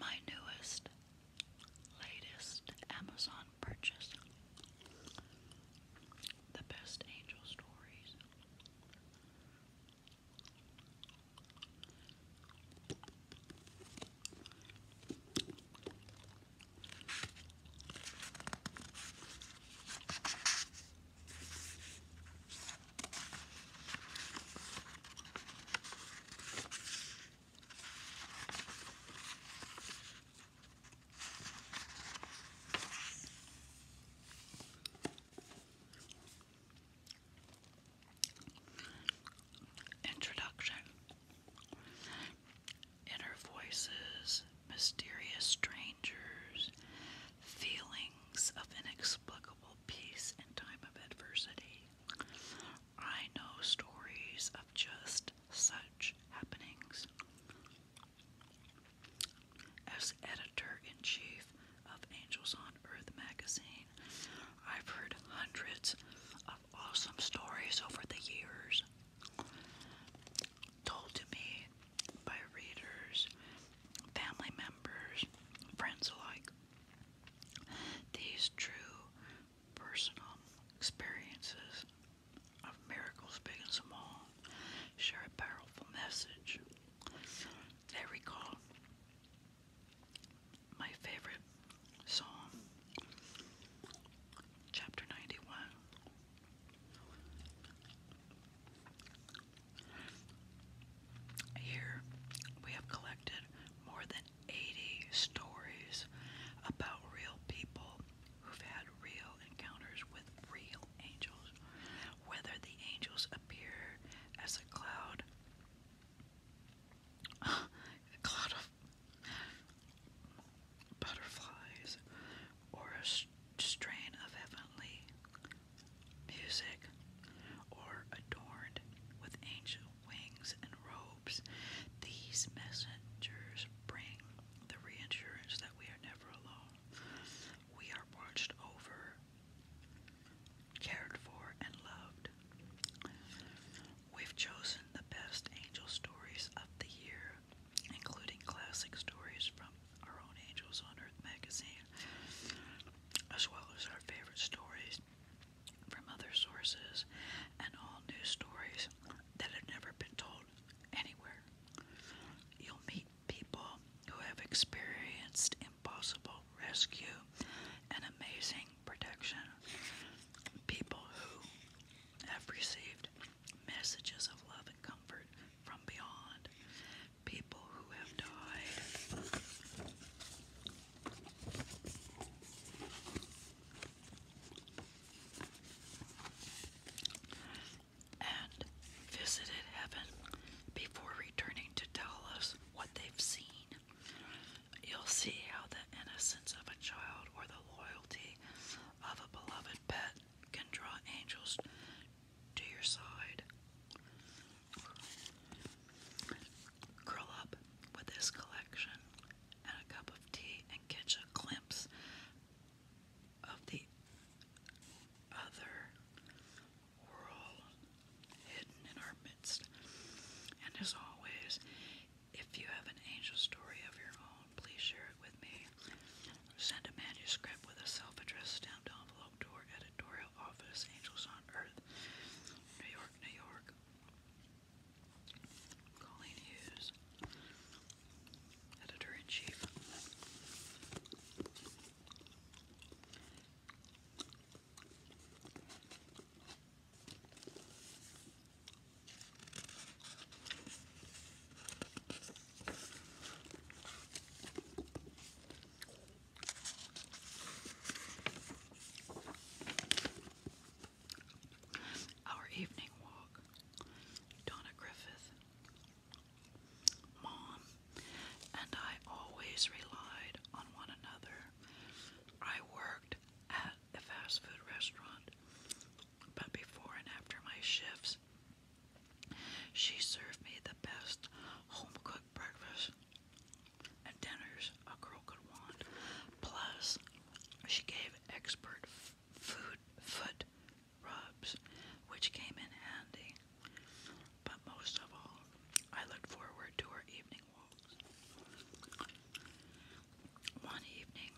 My newest, latest Amazon purchase The Best Angel Stories. Introduction Inner voices, mysterious strains feelings of inexplicable peace in time of adversity. I know stories of just such happenings. As editor in chief of Angels on Earth magazine, I've heard hundreds of awesome stories over the years told to me by readers, family members, friends alike. These true personal experiences of miracles, big and small, share a powerful message. They recall my favorite psalm, chapter 91. Here we have collected more than 80 stories about real people who've had real encounters with real angels, whether the angels appear as a cloud, a cloud of butterflies, or a strain of heavenly music, or adorned with angel wings and robes, these messengers bring the reassurance that we are never alone. We are watched over, cared for, and loved. We've chosen the best angel stories of the year including classic stories from our own Angels on Earth magazine, as well as our favorite stories from other sources and all new stories that have never been told anywhere. You'll meet people who have experienced impossible rescue and amazing protection. People who have received messages of love and comfort from beyond people who have died. And visited heaven before returning to tell us what they've seen. You'll see how the innocence of a child or the loyalty of a beloved pet can draw angels to your side. Curl up with this collection and a cup of tea and catch a glimpse of the other world hidden in our midst. And as always, if you have an angel story of your own, please share it with me. Send a manuscript with a self-addressed stamped envelope to our editorial office, Angels on Earth, New York, New York. Colleen Hughes, Editor-in-Chief. Our evening walk. Donna Griffith. Mom and I always relied on one another. I worked at a fast food restaurant, but before and after my shifts, she served me the best home cooked breakfast and dinners a girl could want. Plus, she gave expert food foot rubs, which came in handy. But most of all, I looked forward to our evening walks. One evening,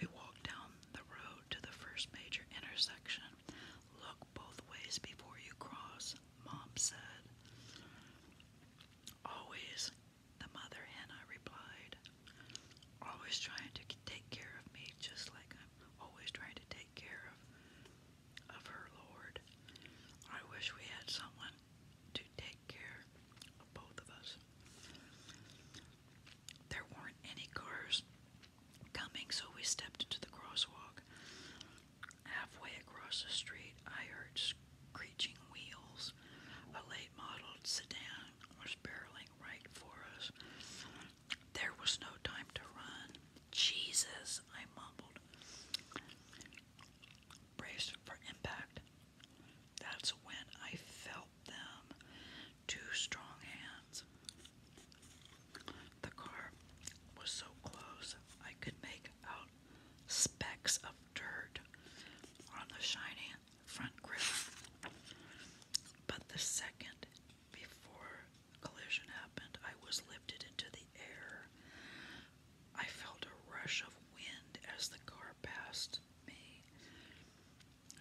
we walked down the road to the first major intersection Look both ways before you cross, Mom said. Always, the mother henna replied. Always trying to take care of me, just like I'm always trying to take care of, of her Lord. I wish we had someone to take care of both of us. There weren't any cars coming, so we stepped into the crosswalk. Halfway across the street, I heard screeching wheels. A late model sedan was barreling right for us. There was no time to run. Jesus, I mumbled. Braced for impact. That's when I felt them two strong hands. The car was so close I could make out specks of dirt on the shiny front grill. But the second before collision happened, I was lifted into the air. I felt a rush of wind as the car passed me.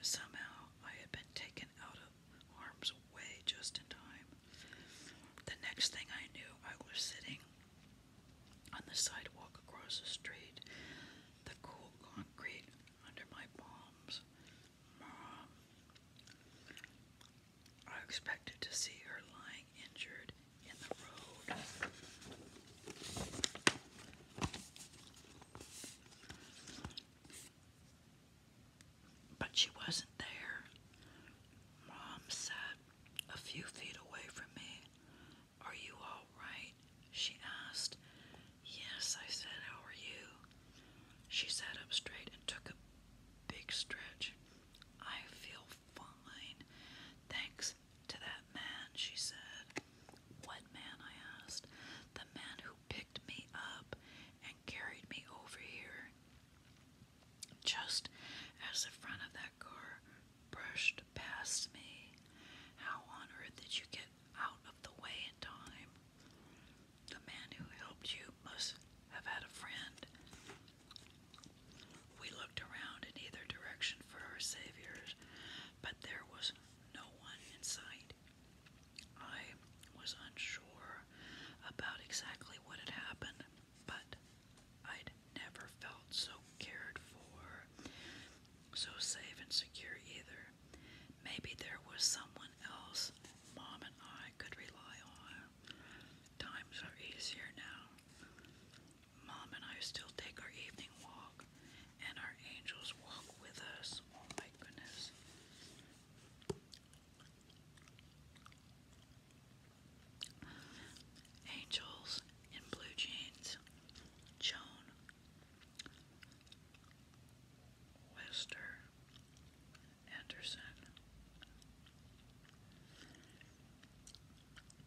Somehow I had been taken out of harm's way just in time. The next thing I knew, I was sitting on the sidewalk across the street, the cool concrete under my palms. Mom. I expected to see her lying injured in the road. But she wasn't there. Mom sat a few feet away from me. Are you all right? She asked. Yes, I said, How are you? She sat up straight and took a big stretch. I feel fine. Thanks to that man, she said. What man? I asked. The man who picked me up and carried me over here. Just as the front of that car brushed past me. How on earth did you get out of the way in time? The man who helped you must have had a friend. We looked around in either direction for our saviors, but there was no one in sight. I was unsure about exactly what had happened, but I'd never felt so cared for, so safe and secure either. Maybe there was someone else Mom and I could rely on. Times are easier now. Mom and I still take our evening walk, and our angels walk with us. Oh my goodness. Angels in blue jeans. Joan Wester Anderson.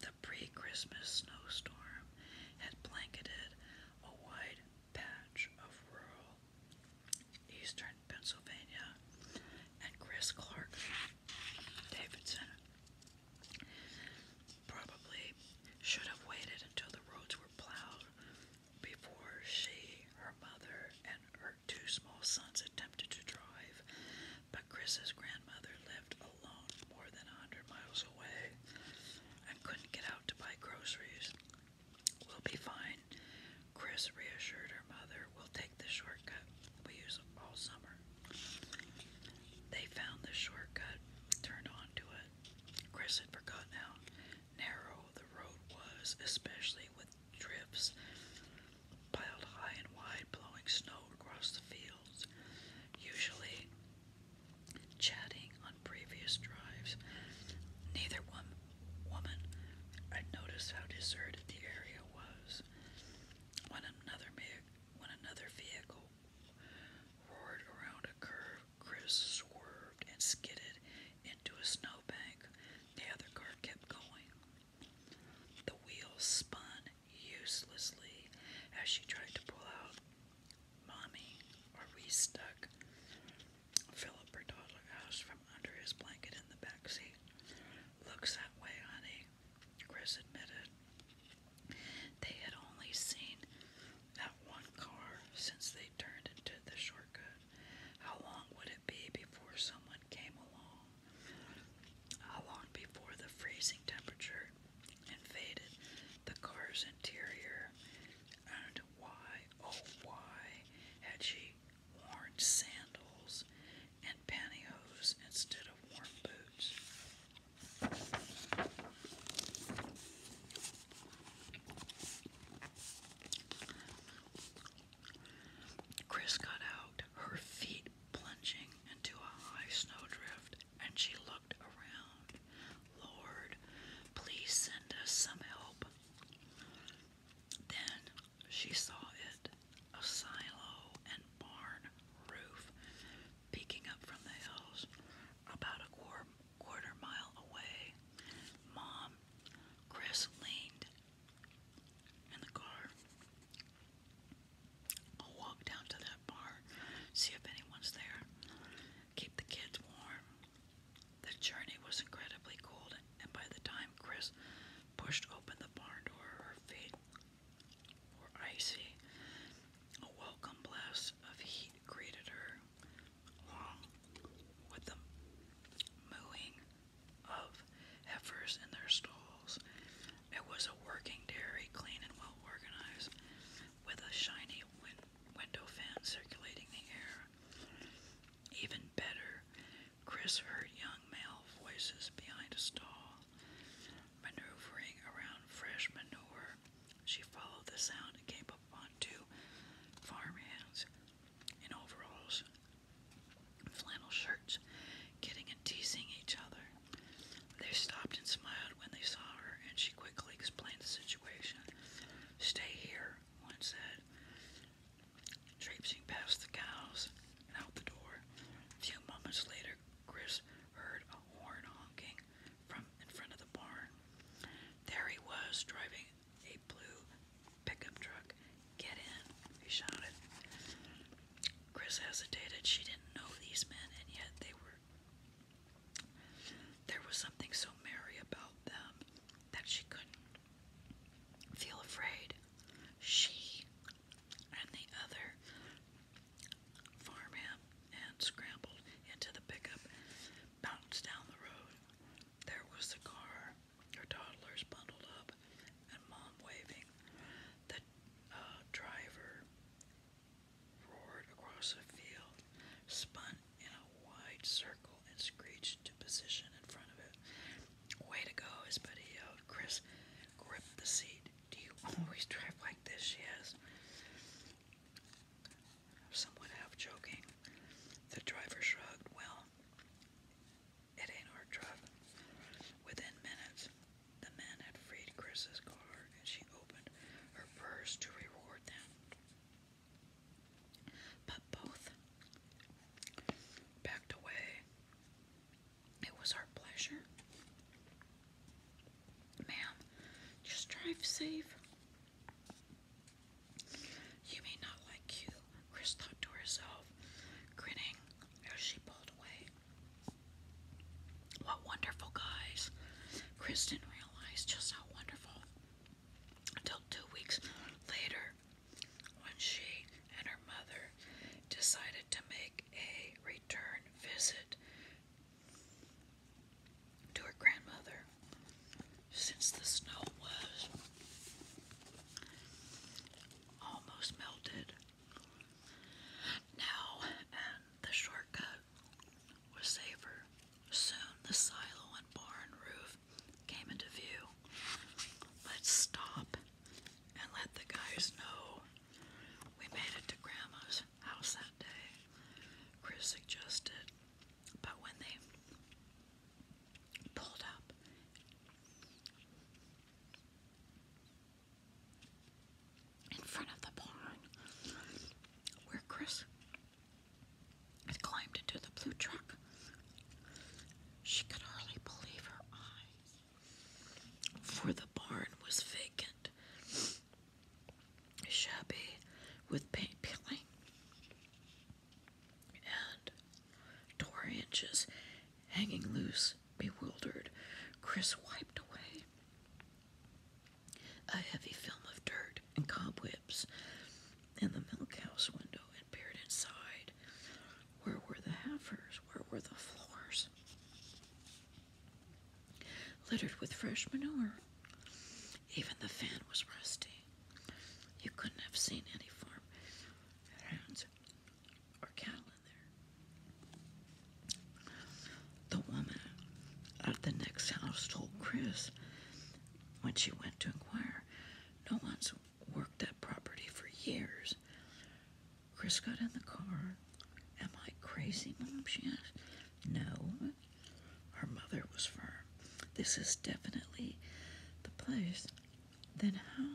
The pre Christmas snowstorm had blanketed a wide patch of rural Eastern Pennsylvania, and Chris Clark Davidson probably should have waited until the roads were plowed before she, her mother, and her two small sons attempted to drive. But Chris's grandmother lived alone more than a hundred miles away and couldn't get out to buy groceries. We'll be fine. Chris reassured her mother. We'll take the shortcut we use all summer. They found the shortcut, turned onto it. Chris had forgotten how narrow the road was, especially with drifts piled high and wide, blowing snow across the fields. Usually, chatting on previous drives. Neither one woman had noticed how deserted the area was. When another when another vehicle roared around a curve, Chris swerved and skidded into a snowbank. The other car kept going. The wheels spun uselessly as she tried to pull out. Mommy, are we stuck? Philip Bertalda asks from under his blanket in the back seat. Looks that way, honey, Chris admitted. They had only seen that one car since they turned into the shortcut. How long would it be before someone came along? How long before the freezing temperature invaded the car's interior and why, oh why, had she worn sandals and pantyhose instead of warm boots? Chris got out, her feet plunging into a high snowdrift, and she looked around. Lord, please send us some help. Then she saw it a silo and barn roof peeking up from the hills about a quarter, quarter mile away. Mom, Chris leaned in the car. I'll walk down to that barn, see if anyone's there keep the kids warm. The journey was incredibly cold, and by the time Chris pushed open the barn door, her feet were icy. A welcome blast of heat greeted her, along with the mooing of heifers in their stalls. It was a working dairy, clean and well organized, with a shiny win window fan circulating the air. Even better, Chris heard young male voices behind a stall, maneuvering around fresh manure. She followed the sound and came upon two farmhands in overalls, flannel shirts, getting and teasing each other. They stopped and smiled when they saw her, and she quickly explained the situation. Stay here, one said, traipsing past the cows and out the door. A few moments later, Chris heard a horn honking from in front of the barn. There he was, driving a blue pickup truck. Get in, he shouted. Chris hesitated. She didn't know these men, and yet they were there was something so merry about them that she couldn't feel afraid. She and the other farmhand and scrambled into the pickup, bounced down the road. There was the car, her toddlers bundled up, and mom waving. The uh, driver roared across a field, spun in a wide circle, and screeched to position in front of it. Way to go, his buddy yelled. Chris gripped the seat. Do you always drive like this? She asked. Somewhat half joking. The driver shrugged. Well, it ain't our truck. Within minutes, the men had freed Chris's car and she opened her purse to reward them. But both backed away. It was our pleasure. Ma'am, just drive safe. You may not like you, Chris thought to herself, grinning as she pulled away. What wonderful guys. Chris didn't realize just how wonderful until two weeks later when she and her mother decided to make a return visit to her grandmother since the snow was almost melted. Now, and the shortcut We'll was safer. Soon the silo and barn roof came into view. Let's stop and let the guys know. We made it to Grandma's house that day, Chris suggested. But when they pulled up, in front of the barn where Chris had climbed into the blue truck. She could hardly believe her eyes, for the barn was vacant, shabby with paint peeling and door hinges hanging loose. Bewildered, Chris wiped away a heavy film of dirt and cobwebs, in the milk house window and peered inside. Where were the heifers? Where were the floors? Littered with fresh manure. Even the fan was rusty. You couldn't have seen any farm hounds or cattle in there. The woman at the next house told Chris when she went to inquire, No one's worked that property for years. Chris got in the car. Am I crazy, Mom? She asked. No. Her mother was firm. This is definitely the place. Then how?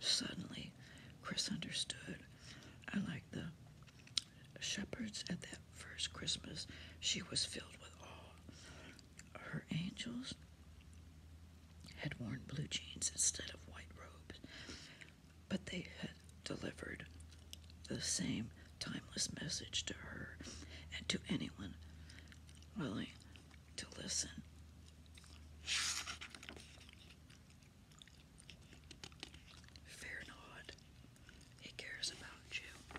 Suddenly, Chris understood. I like the shepherds at that first Christmas, she was filled with awe. Her angels had worn blue jeans instead of white robes, but they had delivered the same timeless message to her and to anyone willing to listen. Fear not, he cares about you.